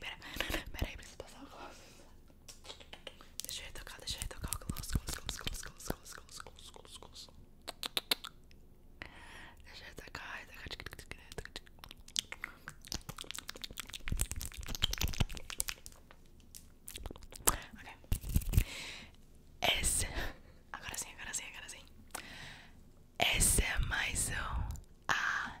Pera, pera aí, preciso passar o gloss. Deixa eu retocar, deixa eu retocar o gloss, gloss, gloss, gloss, gloss, gloss, gloss, gloss, gloss, gloss. Deixa eu retocar, retocar. Ok. Esse... Agora sim, agora sim, agora sim. Esse é mais um... A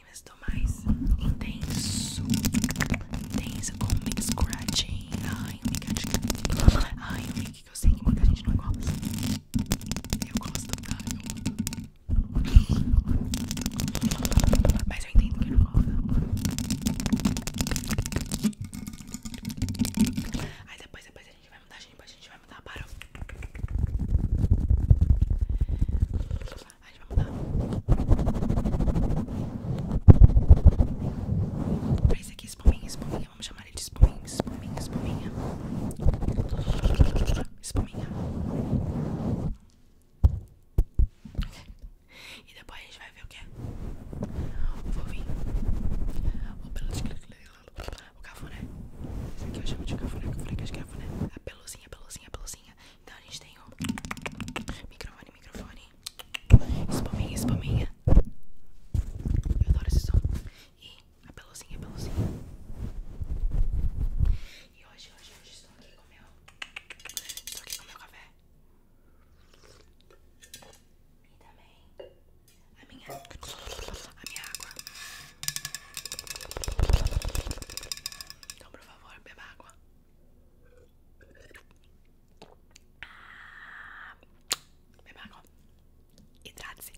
mas mais intenso, intenso, com um scratching. Ai, um micadinho. Ai, um mic que eu sei que muita gente não gosta. Eu gosto, tá? Eu... Mas eu entendo que não gosta. Aí depois, depois a gente vai mudar, depois a gente vai mudar, parou. A gente vai mudar pra esse aqui, espuminha, espuminha. Vamos chamar ele de espuminha, espuminha, espuminha. Espuminha. E depois a gente vai ver o que é. O fofinho. O pelo de O cafuné. isso aqui eu chamo de cafuné, cafuné, que é de cafuné. A peluzinha, peluzinha, peluzinha. Então a gente tem um microfone, microfone, espuminha, espuminha. Eu adoro esse som. E a peluzinha, peluzinha. E hoje, hoje, hoje estou aqui com meu. meu café. E também a minha, a minha água. Então, por favor, beba água. Ah, beba água. Hidrate-se.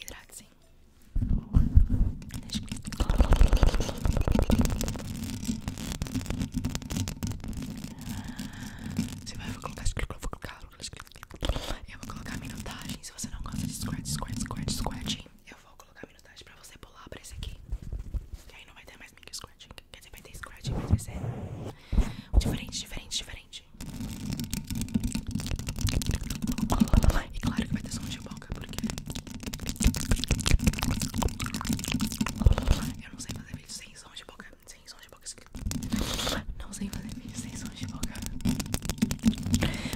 Hidrate-se. Você vai, eu vou colocar, eu vou eu vou colocar minutagem. Se você não gosta de squirt, squirt, squirt, squirt, eu vou colocar minutagem pra você pular pra esse aqui. Que aí não vai ter mais micro scratching. Quer dizer, vai ter scratching, mas vai ser diferente, diferente, diferente. E claro que vai ter som de boca, porque eu não sei fazer vídeo sem som de boca. Sem som de boca. Não sei fazer vídeo sem som de boca.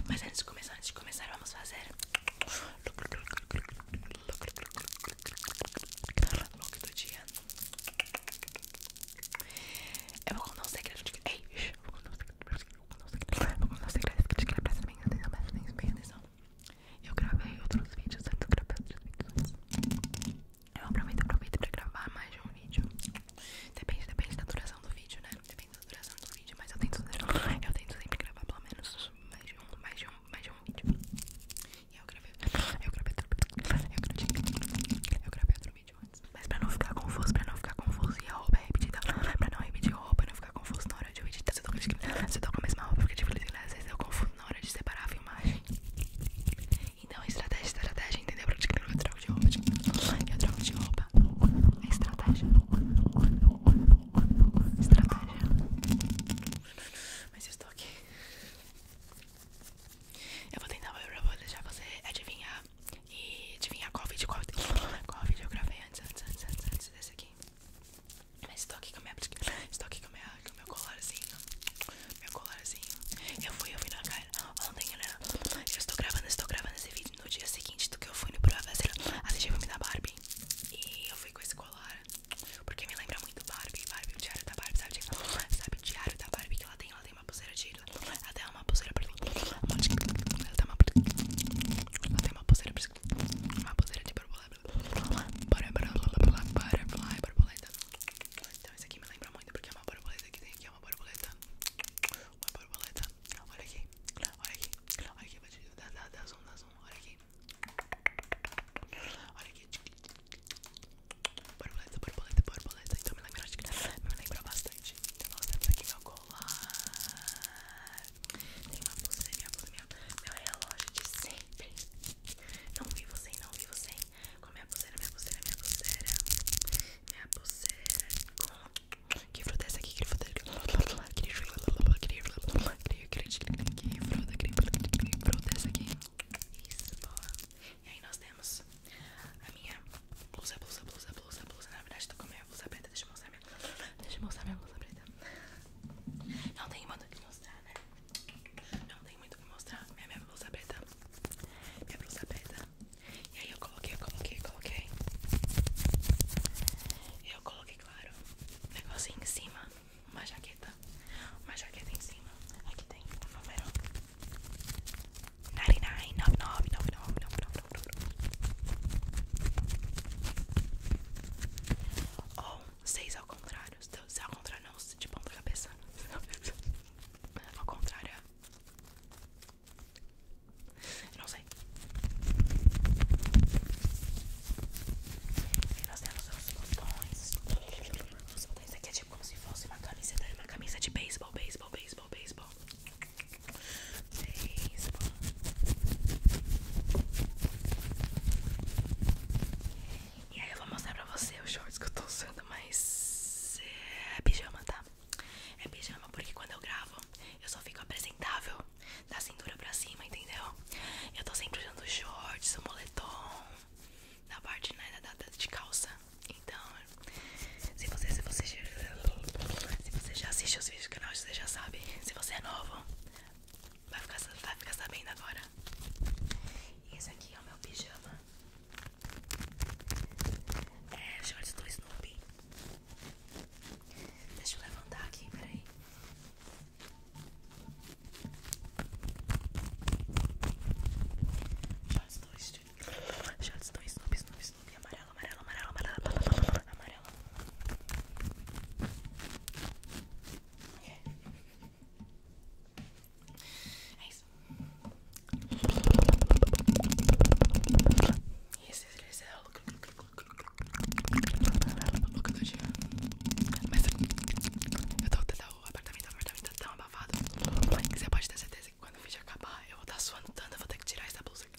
Mas antes de começar, antes de começar, vamos fazer Look do dia. Eu vou contar um segredo de Ei, eu vou contar um segredo. Vou contar um segredo de que presta bem atenção, presta bem atenção. Eu gravei outros vídeos antes, eu gravei outros vídeos antes. Eu aproveito, aproveito pra gravar mais um vídeo. Depende, depende da duração do vídeo, né? Depende duração do vídeo, mas eu tento, eu tento sempre gravar pelo menos mais de um, mais de um, mais de um vídeo. E eu gravei, eu gravei outro vídeo, eu gravei outro vídeo antes. Mas pra não ficar confuso, pra não ficar confuso, e a roupa é repetida, pra não repetir a roupa, não ficar confuso na hora de editar, você tá, eu tô com a mesma roupa, porque tipo, às vezes eu confundo na hora de separar a filmagem. Então, estratégia, estratégia, entendeu? Pra te criar, eu troco de roupa, tipo, eu troco de roupa. É estratégia estratégia. Mas eu estou aqui. Eu vou tentar, eu vou deixar você adivinhar. E adivinhar qual vídeo, qual, qual vídeo eu gravei antes, antes, antes, desse aqui. Mas estou aqui com a Estou aqui com, minha, com meu colarzinho. Meu colarzinho. Eu fui, eu fui na cara ontem, né? Eu estou gravando, estou gravando esse vídeo no dia seguinte do que eu fui no A gente vai me dar Barbie. E eu fui com esse colar porque me lembra muito Barbie, Barbie, o diário da Barbie, sabe? Sabe o diário da Barbie que ela tem? Ela tem uma pulseira de ela tem uma pulseira pra ela tem uma pulseira ela tem uma pulseira uma pulseira de borboleta então esse aqui me lembra muito porque é uma borboleta que tem aqui, é uma borboleta uma borboleta, olha aqui olha aqui, olha aqui, dá zoom, dá zoom Olha aqui. Olha aqui. Borboleta, borboleta, borboleta. Então me lembra, acho que me lembra bastante. Então nós temos meu colar. Tem uma pulseira, minha pulseira, meu relógio de sempre. Não vi você, não vivo sem. Com a minha pulseira, minha pulseira, minha pulseira. Minha pulseira com que fruta é essa aqui? Que fruta é essa aqui? Que fruta é essa aqui? Isso, boa. E aí nós temos a minha blusa, blusa, blusa, blusa, blusa. Na verdade, tô com a minha blusa preta. Deixa eu mostrar minha. Deixa mostrar minha blusa preta. Não tem muito o que mostrar, né? Não tem muito o que mostrar. Minha, blusa preta. Minha blusa preta. E aí eu coloquei, eu coloquei, eu coloquei. Eu coloquei claro, um negocinho em cima, uma jaqueta, uma jaqueta em cima. Aqui tem o número 99999999. Ou 6 ao contrário, se ao contrário não, se de ponta cabeça. ao contrário não sei. E nós temos os botões. Os botões aqui é tipo como se fosse uma camiseta, tá? uma camisa de beisebol, beisebol, beisebol, beisebol. Beisebol. E aí eu vou mostrar pra você os shorts que eu tô usando, mas é pijama, tá? É pijama porque quando eu gravo eu só fico apresentável da cintura pra cima, entendeu? Eu tô sempre usando shorts, o moletom, na parte né, da, da, de calça. Então, se você, se você, já assiste os vídeos do canal, você já sabe. Se você é novo, vai ficar, vai ficar sabendo agora. Esse aqui é o meu pijama. É shorts do Snoopy. Deixa eu levantar aqui, peraí. Shots 2, Shots 2, Snoop, Snoop, Snoop. Amarelo, amarelo, amarelo, amarelo, amarelo. amarelo. Okay. É isso. E esse exercício é, é o louco do dia. Mas eu tô até o apartamento, o apartamento tá tão abafado. Que você pode ter certeza que quando o vídeo acabar, eu vou estar tá suando tanto, eu vou ter que tirar essa blusa aqui.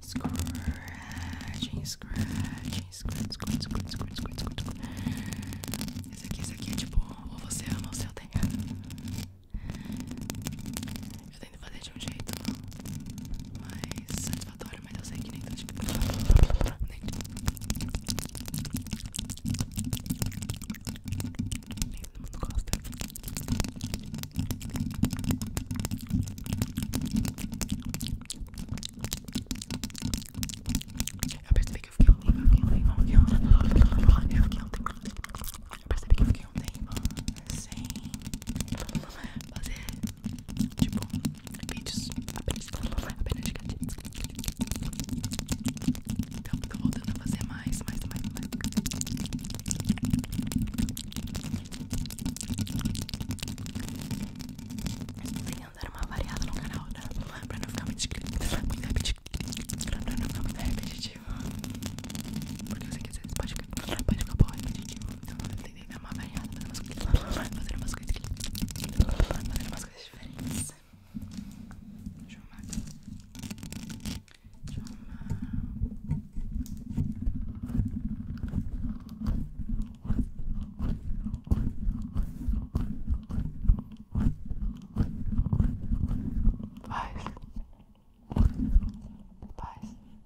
Scratching, scratching, scratch, scratch, scratch, scratch, scratch, scratch. Esse aqui, esse aqui é tipo, ou você ama ou você odeia. Eu tento fazer de um jeito mais satisfatório, mas eu sei que nem tá de... Nem todo mundo gosta. Eu percebi que eu fiquei ontem, ontem, ontem, ontem, ontem, ontem, ontem, ontem, fazer tipo vídeos apenas, de gatinhos. Então tô voltando a fazer mais, mais, mais, mais. Venham dar uma variada no canal, né? Pra não ficar muito repetitivo. Porque você quer que às pode ficar, repetitivo. Então, tentei dar uma variada, tá fazer umas coisas, fazer umas coisas, fazer umas coisas diferentes. Deixa eu amar. Deixa eu amar. Paz. Paz.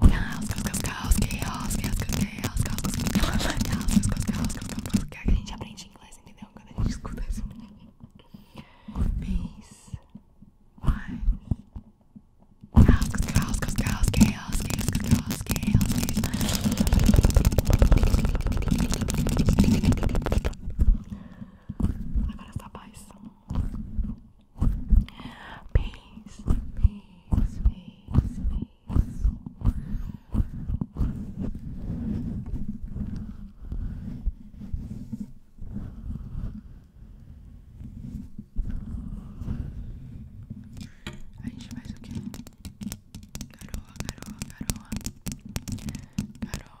Chaos, chaos, chaos, chaos, chaos, chaos, chaos, chaos, chaos, chaos, Quer que a gente aprende inglês, entendeu? Quando a gente escuta isso. Peace. Chaos, chaos, chaos, chaos, chaos, chaos, chaos. Agora essa paz. Peace, peace, peace, peace. A gente faz o quê? Garoa, garoa, garoa. Garoa.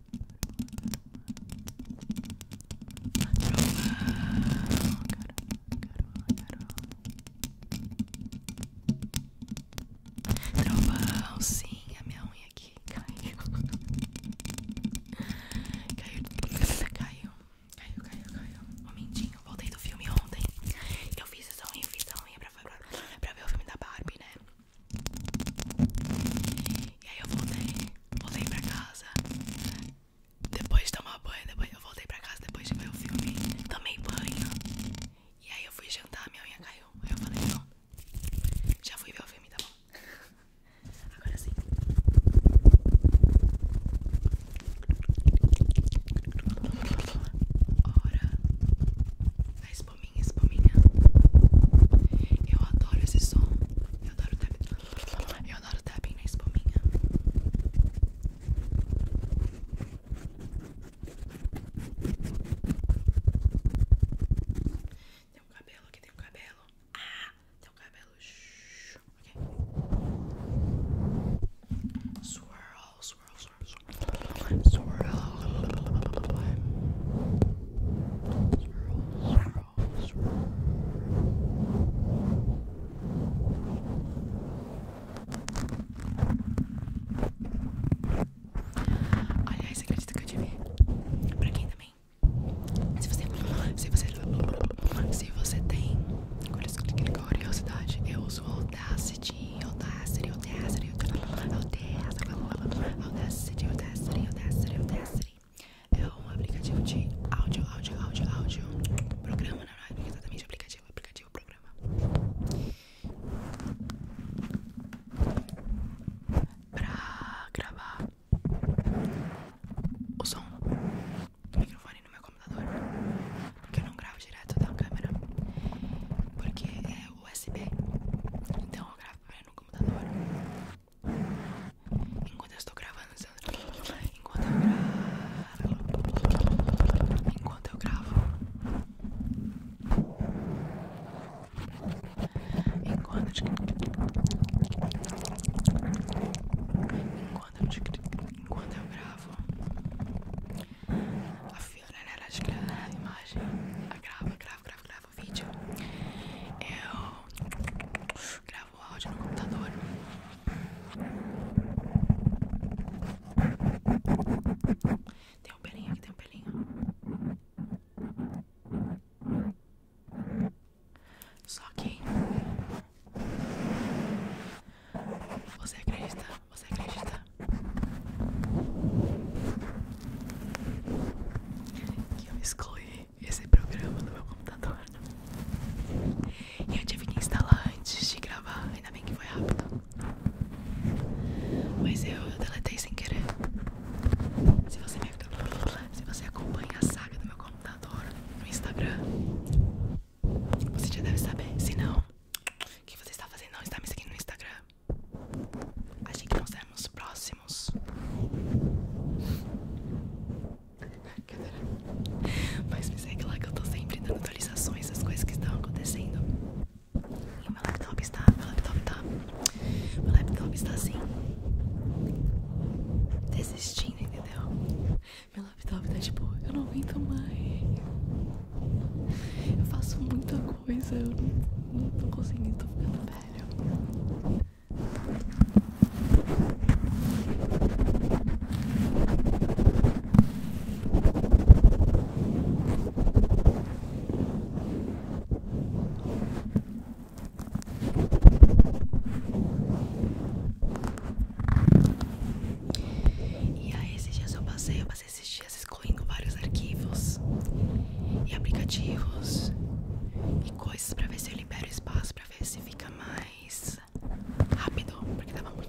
Trovão, Trovão, sim, a minha unha aqui caiu. caiu. Caiu, caiu, caiu, caiu. Momentinho, voltei do filme ontem. Eu fiz essa unha, fiz essa unha pra, pra, pra ver o filme da Barbie, né? E aí eu voltei, voltei pra casa. Depois de tomar banho, depois eu voltei pra casa depois de ver o filme. Tomei banho. E aí eu fui jantar, minha unha caiu. Aí eu falei, não. Já fui ver o filme, tá bom? Agora sim. Hora da espuminha, espuminha. Eu adoro esse som. Eu adoro tapping. Eu adoro tapping na espuminha. Tem um cabelo aqui, tem um cabelo. Ah, tem um cabelo. Shhh, swirl, swirl, swirl. Aliás, acredito que eu tive pra quem também. Se você, se você, se você tem curiosidade, eu uso Audacity, Audacity, audacity, audacity, audacity, audacity, audacity. É um aplicativo de áudio, áudio, áudio, áudio. Programa, não, não é exatamente aplicativo, é aplicativo, programa. Pra gravar o som do microfone no meu computador. Porque eu não gravo direto da câmera. Porque é USB. Então eu gravo trabalho no computador. Enquanto eu estou gravando, enquanto eu gravo, enquanto eu gravo, enquanto enquanto eu gravo, a fio, né, a imagem, a grava, grava, grava, grava gravo vídeo, eu gravo o áudio no computador. Tem um pelinho aqui, tem um pelinho. Só que você acredita, você acredita que eu excluí esse programa do meu computador. E eu tive que instalar antes de gravar, ainda bem que foi rápido. Mas eu, deletei sem querer. Se você, me... acompanha a saga do meu computador no Instagram, você já deve saber. Se não, o que você está fazendo? Não está me seguindo no Instagram. Achei que nós éramos próximos. Mas me segue lá que eu tô sempre dando atualizações das coisas que estão acontecendo. E o meu laptop está. Meu laptop tá. Meu laptop está assim. Desistindo, entendeu? Meu laptop tá tipo, eu não aguento mais. Eu faço muita coisa. Eu não muito consegui, tô ficando velho. E aí, esse dias eu passei, eu passei passei esses dias excluindo vários arquivos e aplicativos e coisas pra ver se eu libero espaço, pra ver se fica mais rápido, porque tava muito.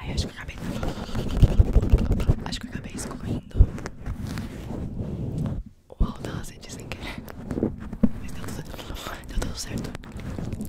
Ai, acho que acabei. Acho que acabei escorrendo o alto da lacete sem querer. Mas deu tá tudo certo. Tá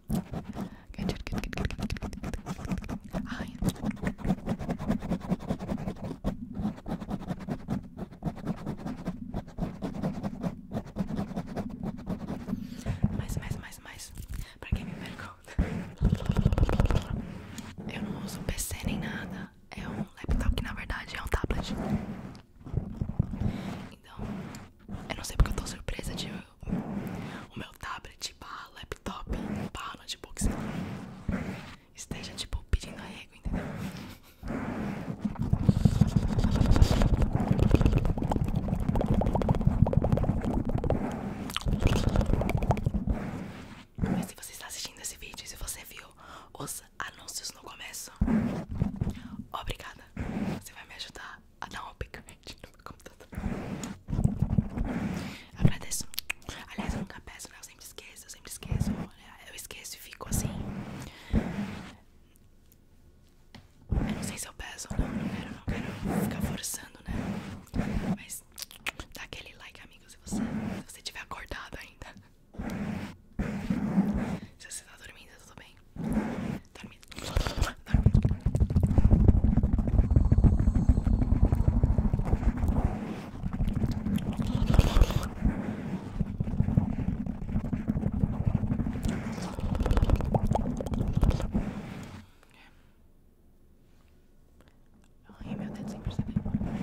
Ai. Mais, mais, mais, mais. Pra quem me pergunta, eu não uso PC nem nada. É um laptop que na verdade é um tablet. Então, eu não sei porque eu tô surpresa de o meu tablet barra laptop barra notebook sei lá, esteja tipo pedindo arrego, entendeu? Mas se você está assistindo esse vídeo, se você viu os anúncios no começo, obrigada. Você vai me ajudar ah não, upgrade no meu computador. Agradeço. Aliás, eu nunca peço, né? Eu sempre esqueço, eu sempre esqueço. Eu esqueço e fico assim. Eu não sei se eu peço ou não, não quero, não quero ficar forçando, né? Mas dá aquele like, amigo, se você, se você tiver acordado ainda. Se você está dormindo, tudo bem. Dorme I'll email that sleeper seven.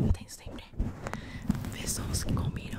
Eu tenho sempre pessoas que combinam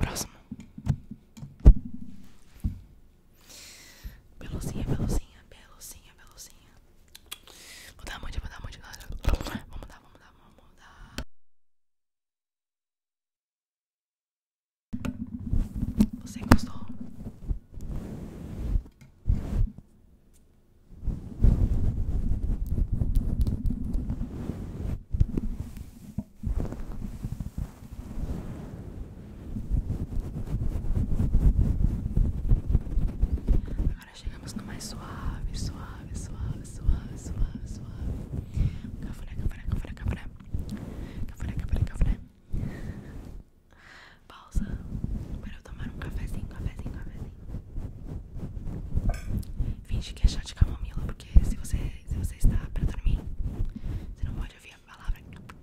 Próximo. Beluzinha, beluzinha, beluzinha, beluzinha. Vou dar muito, vou dar muito. Vamos dar, vamos dar, vamos dar. Você gostou? Agora chegamos no mais suave, suave, suave, suave, suave, suave. Cafuré, cafuré, cafuré, cafuré. Cafuré, cafuré, cafuré pausa para eu tomar um cafezinho, cafezinho, cafezinho. Finge que é chato de camomila, porque se você, se você está para dormir, você não pode ouvir a palavra. Não pode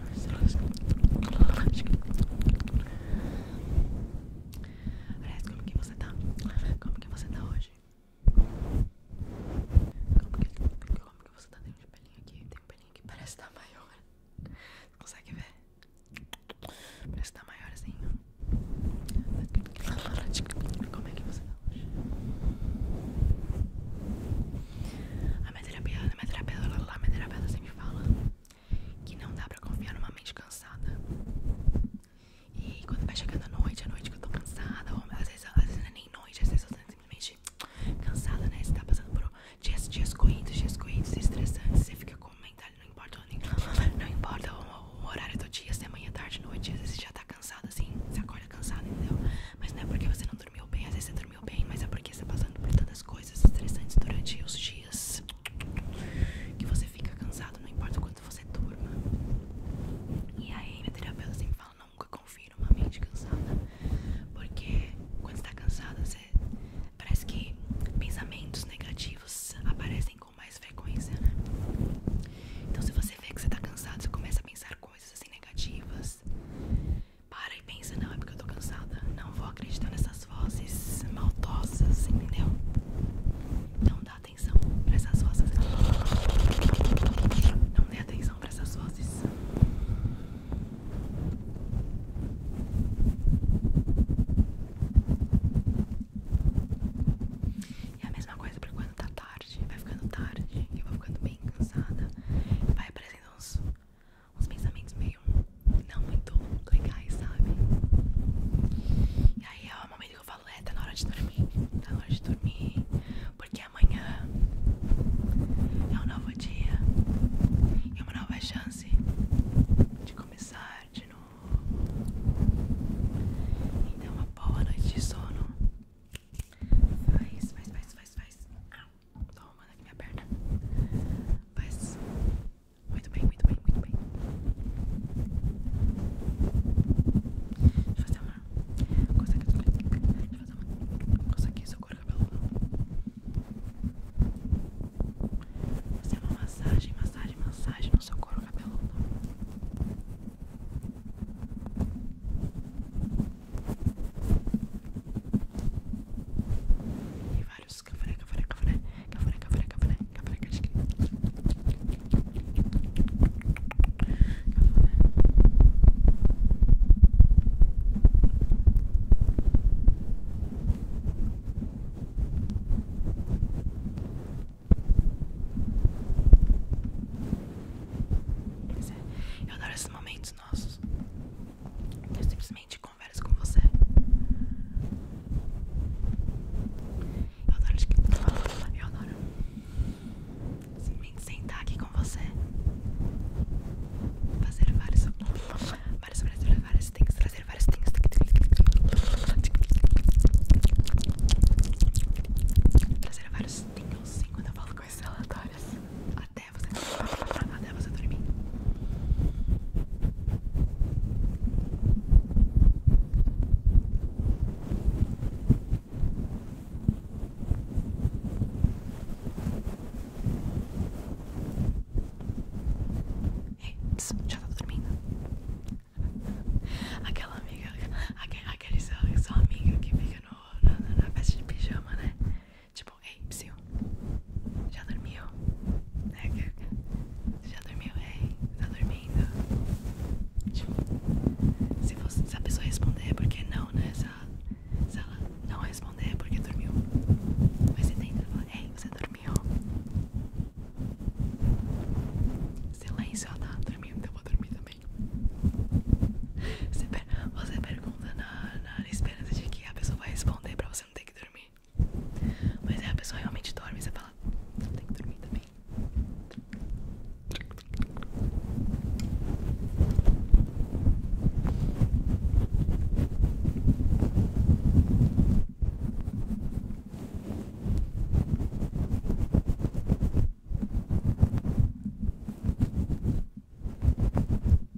Aliás, como que você tá? Como que você tá hoje? Como que, você tá? Tem um pelinho aqui, tem um pelinho que parece tá maior. Você consegue ver? Parece tá maiorzinho. Assim. Como é que você tá hoje? A minha terapeuta, a minha terapeuta, a minha terapeuta sempre fala que não dá pra confiar numa mente cansada. E quando vai chegando a noite, a noite que eu tô cansada, às vezes, às vezes não é nem noite, às vezes eu tô simplesmente cansada, né? Você tá passando por dias, dias corridos, dias corridos, estressantes, você fica com mental, não importa, não importa o, horário do dia, se é manhã, tarde, noite, às vezes você já tá cansado assim, você acorda cansado entendeu? Mas não é porque você não dormiu bem, às vezes você dormiu bem, mas é porque você está passando por tantas coisas estressantes durante os dias que você fica cansado, não importa o quanto você durma. E aí, minha terapeuta sempre fala: nunca confira uma mente cansada, porque quando está cansada, parece que pensamentos negativos aparecem com mais frequência, né? Então, se você vê que você tá cansado, você começa a pensar coisas assim negativas para e pensa, não, é porque eu tô cansada. Não vou acreditar nessas vozes maltosas, entendeu? Não dá atenção pra essas vozes. Não dê atenção pra essas vozes. E é a mesma coisa pra quando tá tarde. Vai ficando tarde, eu vou ficando bem cansada. Vai aparecendo uns uns pensamentos meio não muito legais, sabe? E aí é o momento que eu falo, é, tá na hora de dormir, tá na hora de dormir, porque amanhã é um novo dia e uma nova chance de começar de novo. Então uma boa noite de sono. Faz, faz, faz, faz, faz. Tô arrumando aqui minha perna. paz Muito bem, muito bem, muito bem. Deixa eu fazer uma. Coisa aqui. Deixa eu fazer uma. Coisa seu couro cabeludo. Fazer uma massagem, massagem, massagem no seu couro cabeludo. E vários cafaré, cafaré, cafaré, cafaré, cafaré, cafaré, cafaré, cafaré, Pois é, eu adoro esses momentos nossos. Eu simplesmente converso com você. Eu adoro, tá eu adoro simplesmente sentar aqui com você. Fazer vários. Vários, vários, vários things. Trazer vários things. Trazer vários tingles, sim, quando eu falo coisas relatórias até você dormir. Ei, já tá dormindo. Aquela amiga, aquele, aquele seu, seu que fica no, na, na festa de pijama, né? Tipo, ei, psiu, já dormiu? Né? Já dormiu? Ei, tá dormindo? Tipo, se, a pessoa responder é porque não, né? Se ela, não responder é porque dormiu. Mas você tenta falar, ei, você dormiu? Silêncio, ela tá dormindo, então eu vou dormir também. Você, pergunta na, na a esperança de que a pessoa vai responder pra você não ter que dormir. Mas é a pessoa realmente dorme você fala, não tem que dormir também.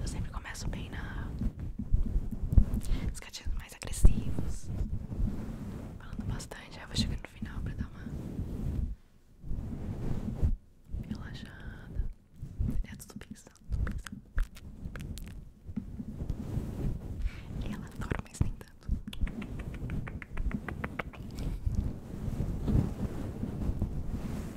Eu sempre começo bem na. Os gatinhos mais agressivos. Falando bastante. Aí eu vou chegar no final pra dar uma. Relaxada. É tudo pensando, tudo pensando. Ela adora, mas nem